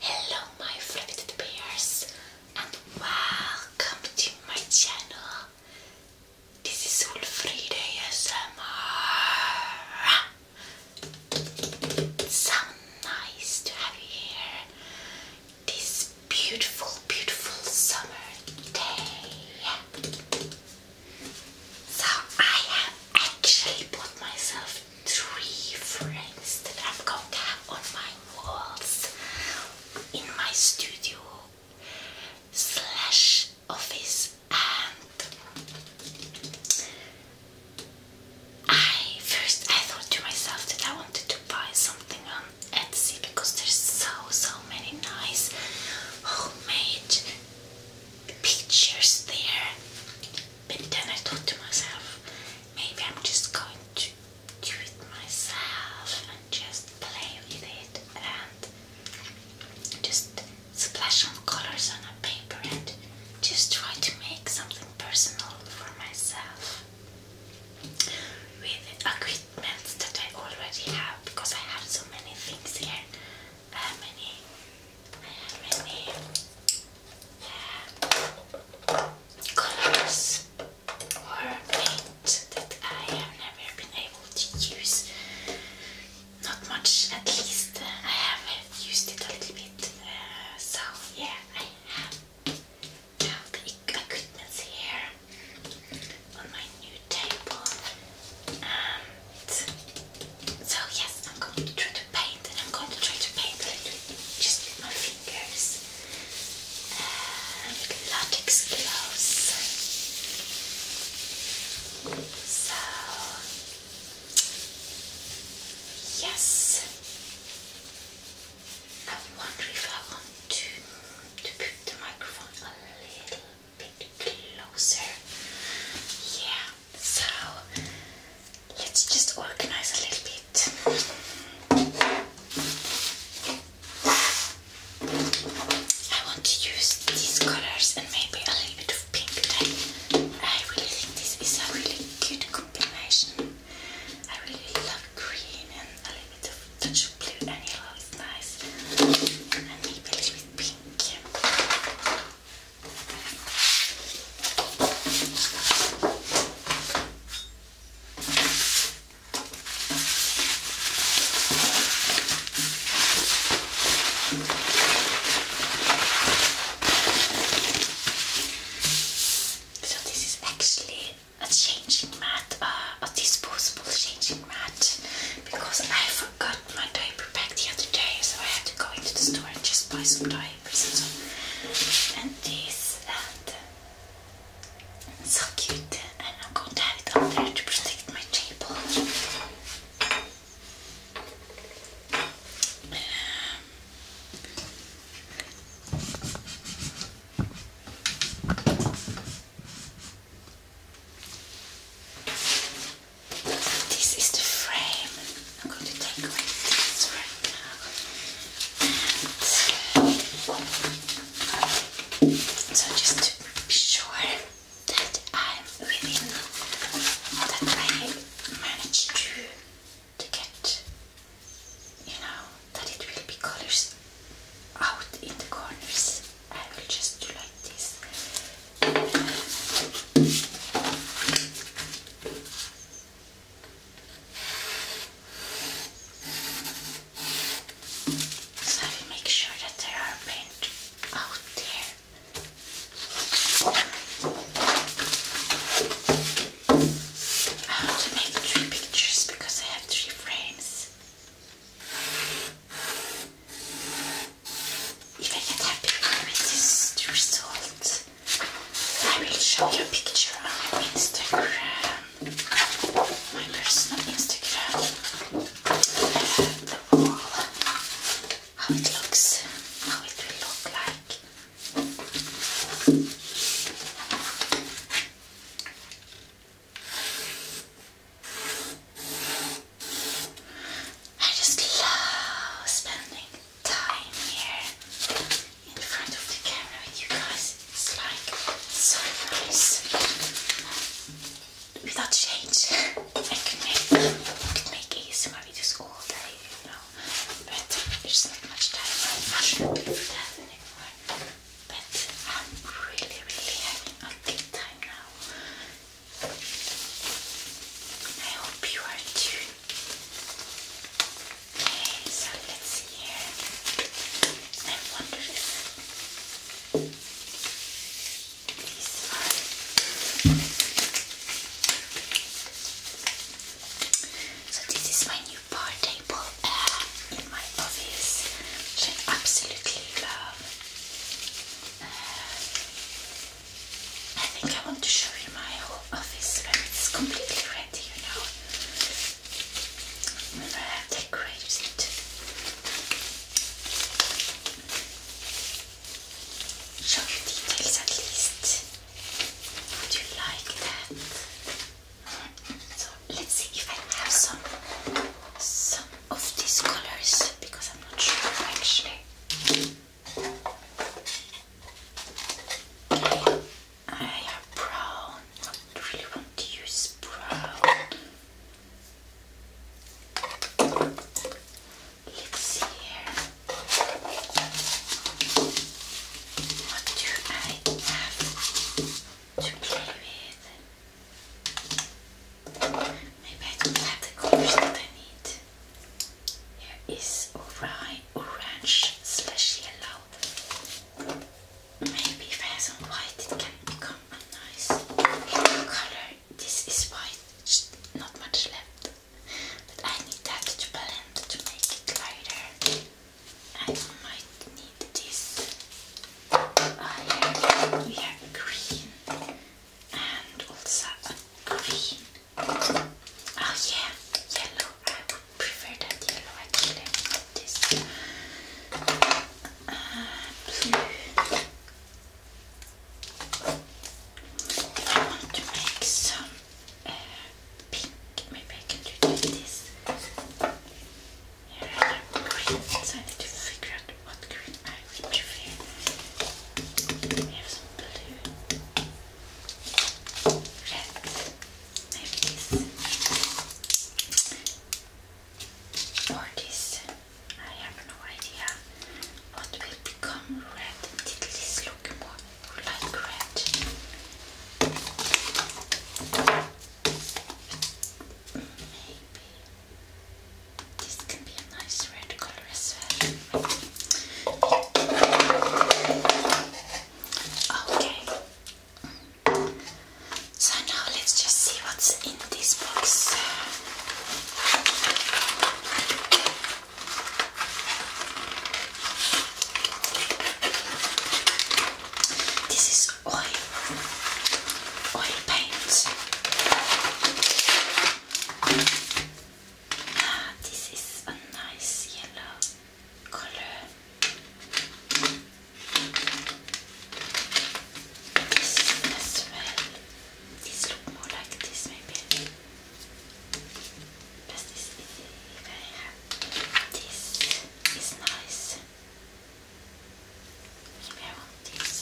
Hello my favorite bears and welcome to my channel. This is Ulfrida ASMR. It's so nice to have you here this beautiful, beautiful summer day. So I have actually bought myself three frames that i have got on my walls in my studio slash office and I first I thought to myself that I wanted to buy something on Etsy because there's so so many nice homemade pictures there but then I thought to myself, maybe I'm just going to do it myself and just play with it and just splash some colors on a paper and just try to make something personal for myself with equipment that I already have because I have so many things here, uh, many I have many colors or paints that I have never been able to use. Not much, at least. Uh, I have used it a little bit. Uh, so yeah, I have now the equipment here on my new table and so yes, I'm going to try to paint and I'm going to try to paint a little just with my fingers. Uh, with latex gloves. So yes. I wonder if I want to to put the microphone a little bit closer. Yeah. So let's just organize a little bit. I want to use these colors and maybe a little bit of pink I really think this is a really good combination. I really love green and a little bit of touch of blue and yellow nice. And maybe a little bit pink. So this is actually a changing mat, uh, a disposable changing mat, because I forgot my diaper bag the other day, so I had to go into the store and just buy some diaper and this and so cute and I'm going to have it up there to protect my table. This is the frame. I'm going to take away this so just to be sure that I'm within, that I manage to, to get, you know, that it will be colors out in the corners. I will just do like this. So I will make sure that there are paint out there. I want to make three pictures because I have three frames. If I get happy with this result. I will show you a picture on Instagram, my personal Instagram, the wall, how it looks, how it will look like. I just love spending time here in front of the camera with you guys. It's like so nice. Without change, I could make I could make ASMR videos all day, you know. But there's not much time. I that anymore. But I'm really, really having a good time now. I hope you are too. Okay, so let's see here. I wonder if so this is my new bar table uh, in my office, which absolutely love. Uh, I think I want to show you my whole office when it's completely ready, you know. When it. Show details at least. Would you like that? So let's see if I have some some of these colors because I'm not sure actually. I am brown. I really want to use brown. Let's see here. What do I have to play with? Maybe I don't have the colors that I need is orange slash yellow. Maybe if some white it can become a nice color. This is white, just not much left. But I need that to blend to make it lighter. I might need this. here we have green and also a green Oh yeah, yellow. I would prefer that yellow actually. This uh, blue. If I want to make some uh, pink, maybe I can do this. I need to figure out what green I would prefer. We some blue red like this this I have no idea what will become red did this look more like red maybe this can be a nice red color as well Okay. So now let's just see what's in this box. This is oil, oil paint. Ah, this is a nice yellow colour. This smell. These look more like this maybe. But this this is nice. I want this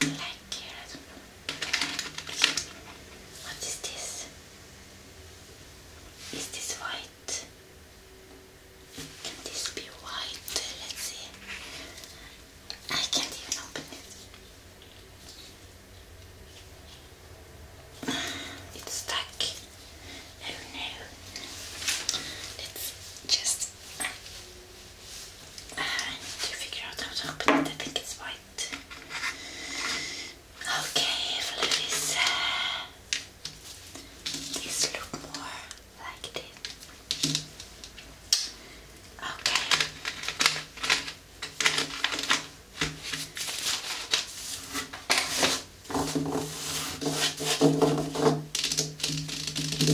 black here, What is this? Is this white? Can this be white? Let's see. I can't even open it. It's stuck. Oh no. let just I need to figure out how to open it. I think it's white. Okay, Florice. These look more like this.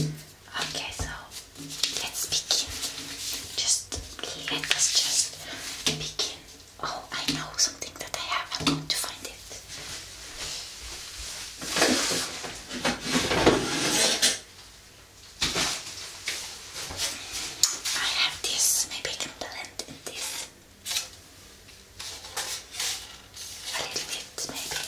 Okay. Okay, so let's begin. Just let us just begin. Oh, I know something that I have. I'm going to find it. I have this. Maybe I can blend in this a little bit, maybe.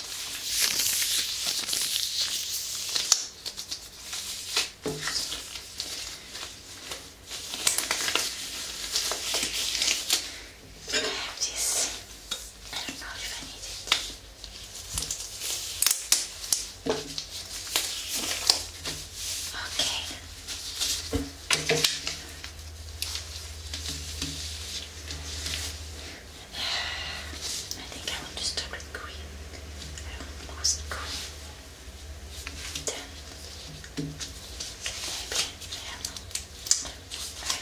I have this. I don't know if I need it. Okay. I think I want to start with green. I almost green. Then maybe I I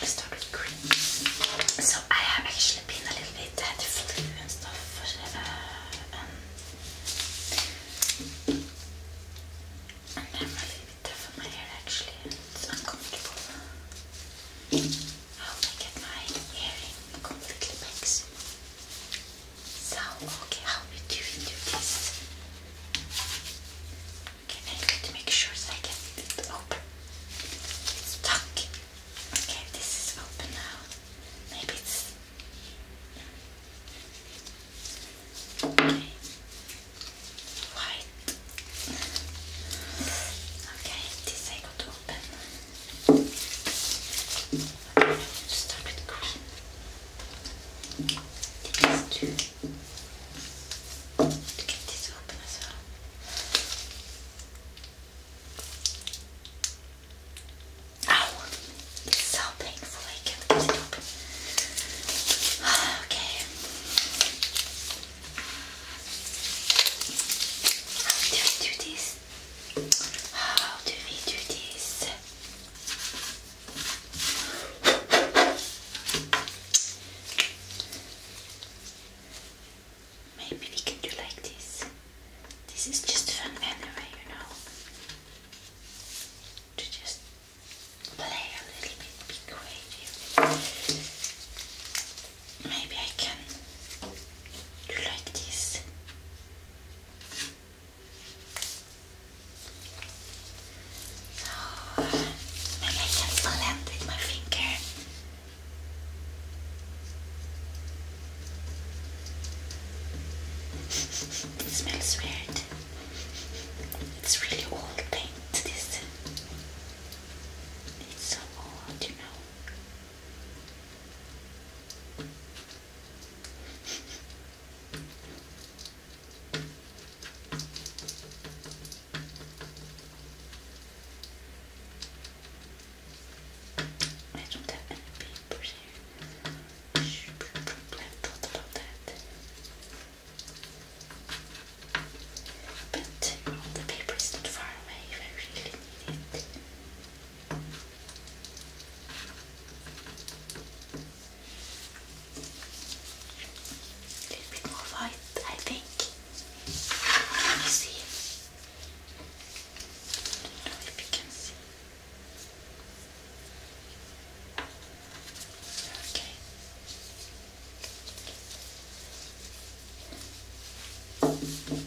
will start with green. So I have actually been a little bit at flu and stuff. and uh, um, I'm a little bit tough on my hair actually, it's uncomfortable. How I get my hearing completely makes. So, okay, how do we do this? Okay, I need to make sure that I get it open. It's stuck. Okay, this is open now. Maybe it's. White. Okay, this I got open. Just a bit green. This too. To get this open as well. Ow! It's so painful I can't get it open. Okay. How do we do this? How do we do this? Maybe we can do like this. This is just fun anyway, you know. To just play a little bit, be creative maybe I can do like this. Oh, maybe I can blend with my finger. it smells weird. It's really old paint this. It's so old, you know. I don't have any papers here. Shh, I thought about that. But all the paper is not far away if I really need it. A more white, I think. Let me see. I do know if you can see. Okay.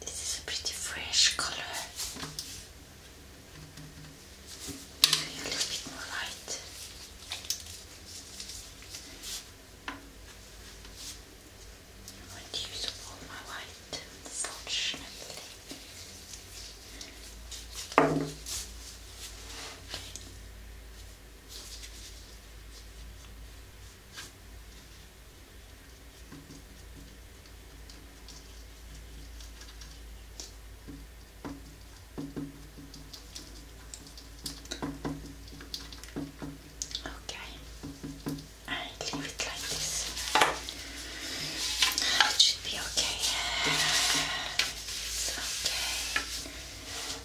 This is a pretty fresh color. A little bit more light. I want to use all my white, unfortunately. Okay, I leave it like this. should be okay. It's okay.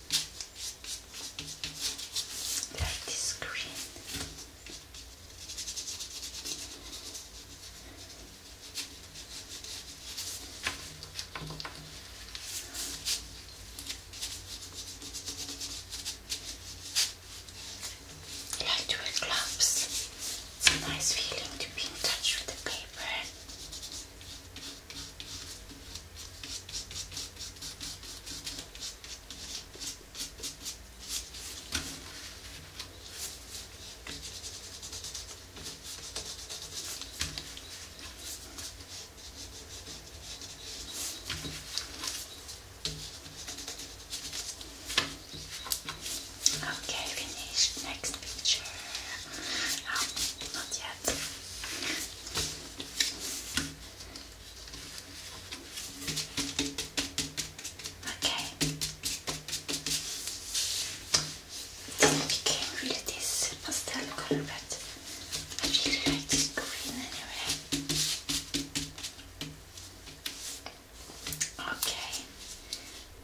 Like this green. I like to wear gloves. It's a nice feeling to be in touch with the paper. Okay, finished. Next picture. Um, not yet. Okay. I can't really this pastel color, but I really like this green anyway. Okay.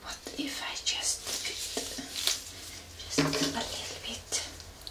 What if I just just a little bit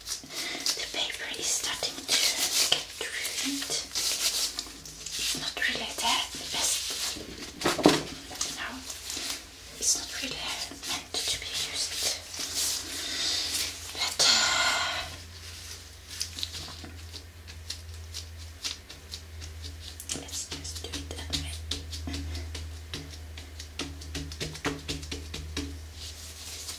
The paper is starting to get ruined. It's not really there, best. No, it's not really meant to be used. But uh, let's just do it anyway.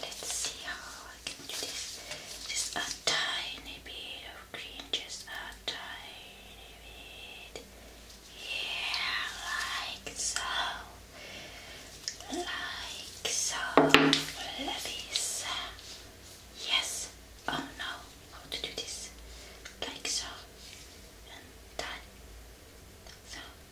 Let's see how I can do this. Just a tiny bit of green, just a tiny bit. Yeah, like so. Like so. Like Yes. Oh no. How to do this? Like so. And that. So.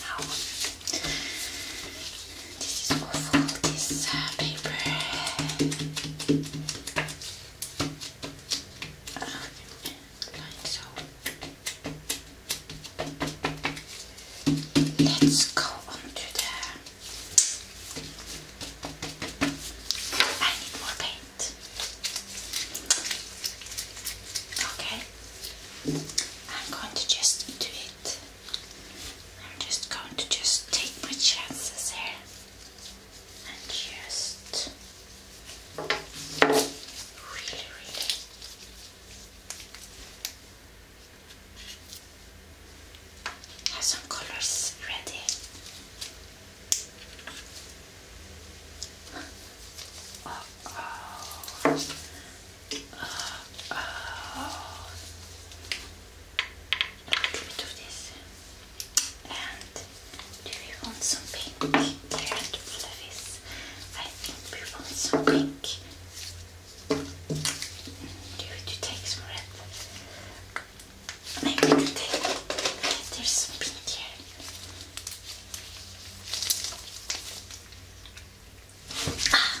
Now, this is for fold this uh, paper. Let's go on to the. I need more paint. Okay, I'm going to just do it. I'm just going to just take my chances here and just really, really have some colors ready. Uh oh. oh a little bit this and do we want some pink here at Fluffy's? I think we want some pink do we do take some red? maybe we take there's some pink here Ah.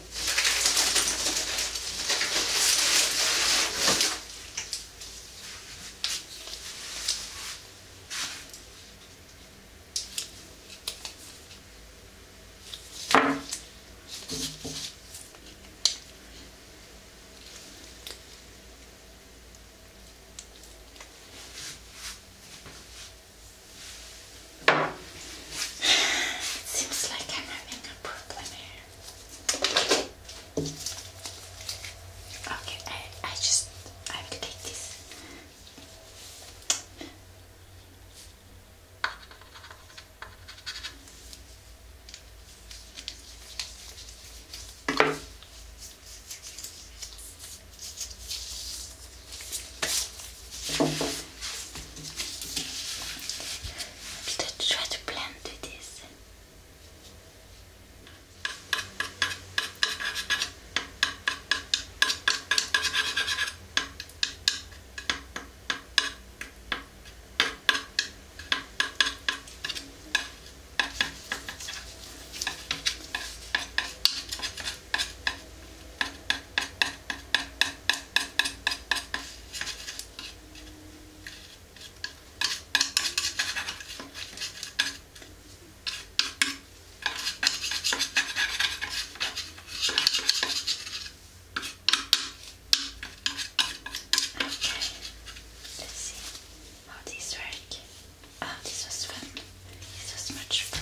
It seems like I'm having a problem here. Okay, I, I just I will take this. I'm Peter, try to blend with this let's see how oh, these work. Oh, this was fun. This was much fun.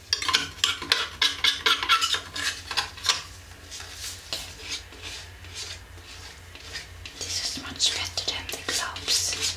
This is much better than the gloves.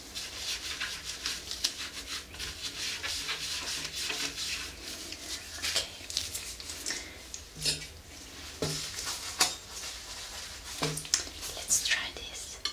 Okay. Let's try this. Okay.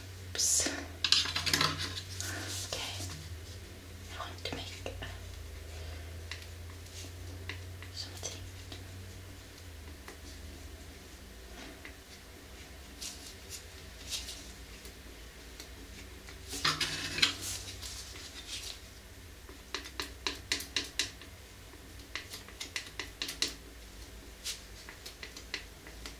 Oops. Okay. I want to make uh, something.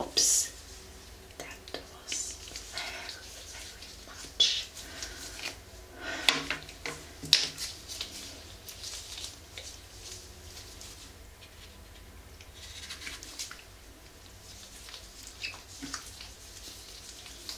Oops, that was very, very much.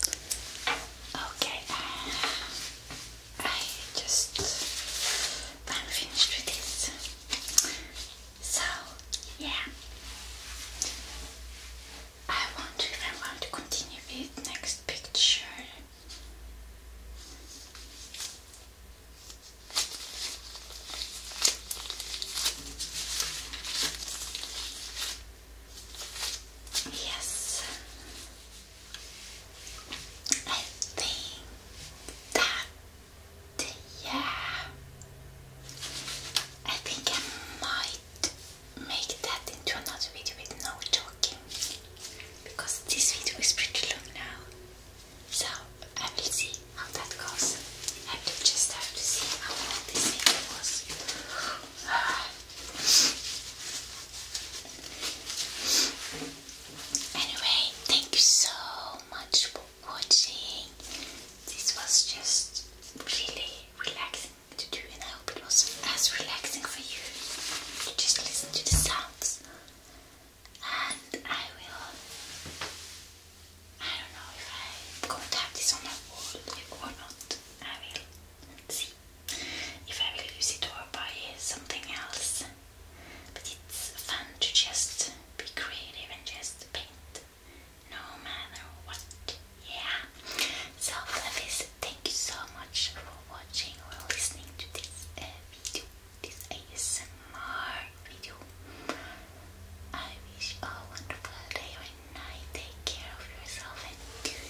Okay, uh, I just I'm finished with this. So yeah, I wonder if I want to continue with next picture. Yes. I think that, yeah. I think I might make that into another video with no talking because this video is pretty long now. So I will see how that goes. I will just have to see how long this video was. Anyway, thank you so much for watching. This was just really relaxing to do, and I hope it was as relaxing for you just listen to the sounds. And I will. I don't know if I'm going to have this on my wall or not. I will see if I will use it or buy something else. But it's fun to just be creative and just paint. No matter what. Yeah. So Flavies, thank you so much for watching or listening to this uh, video. This ASMR video. I wish you a wonderful day good night. Take care of yourself and good, good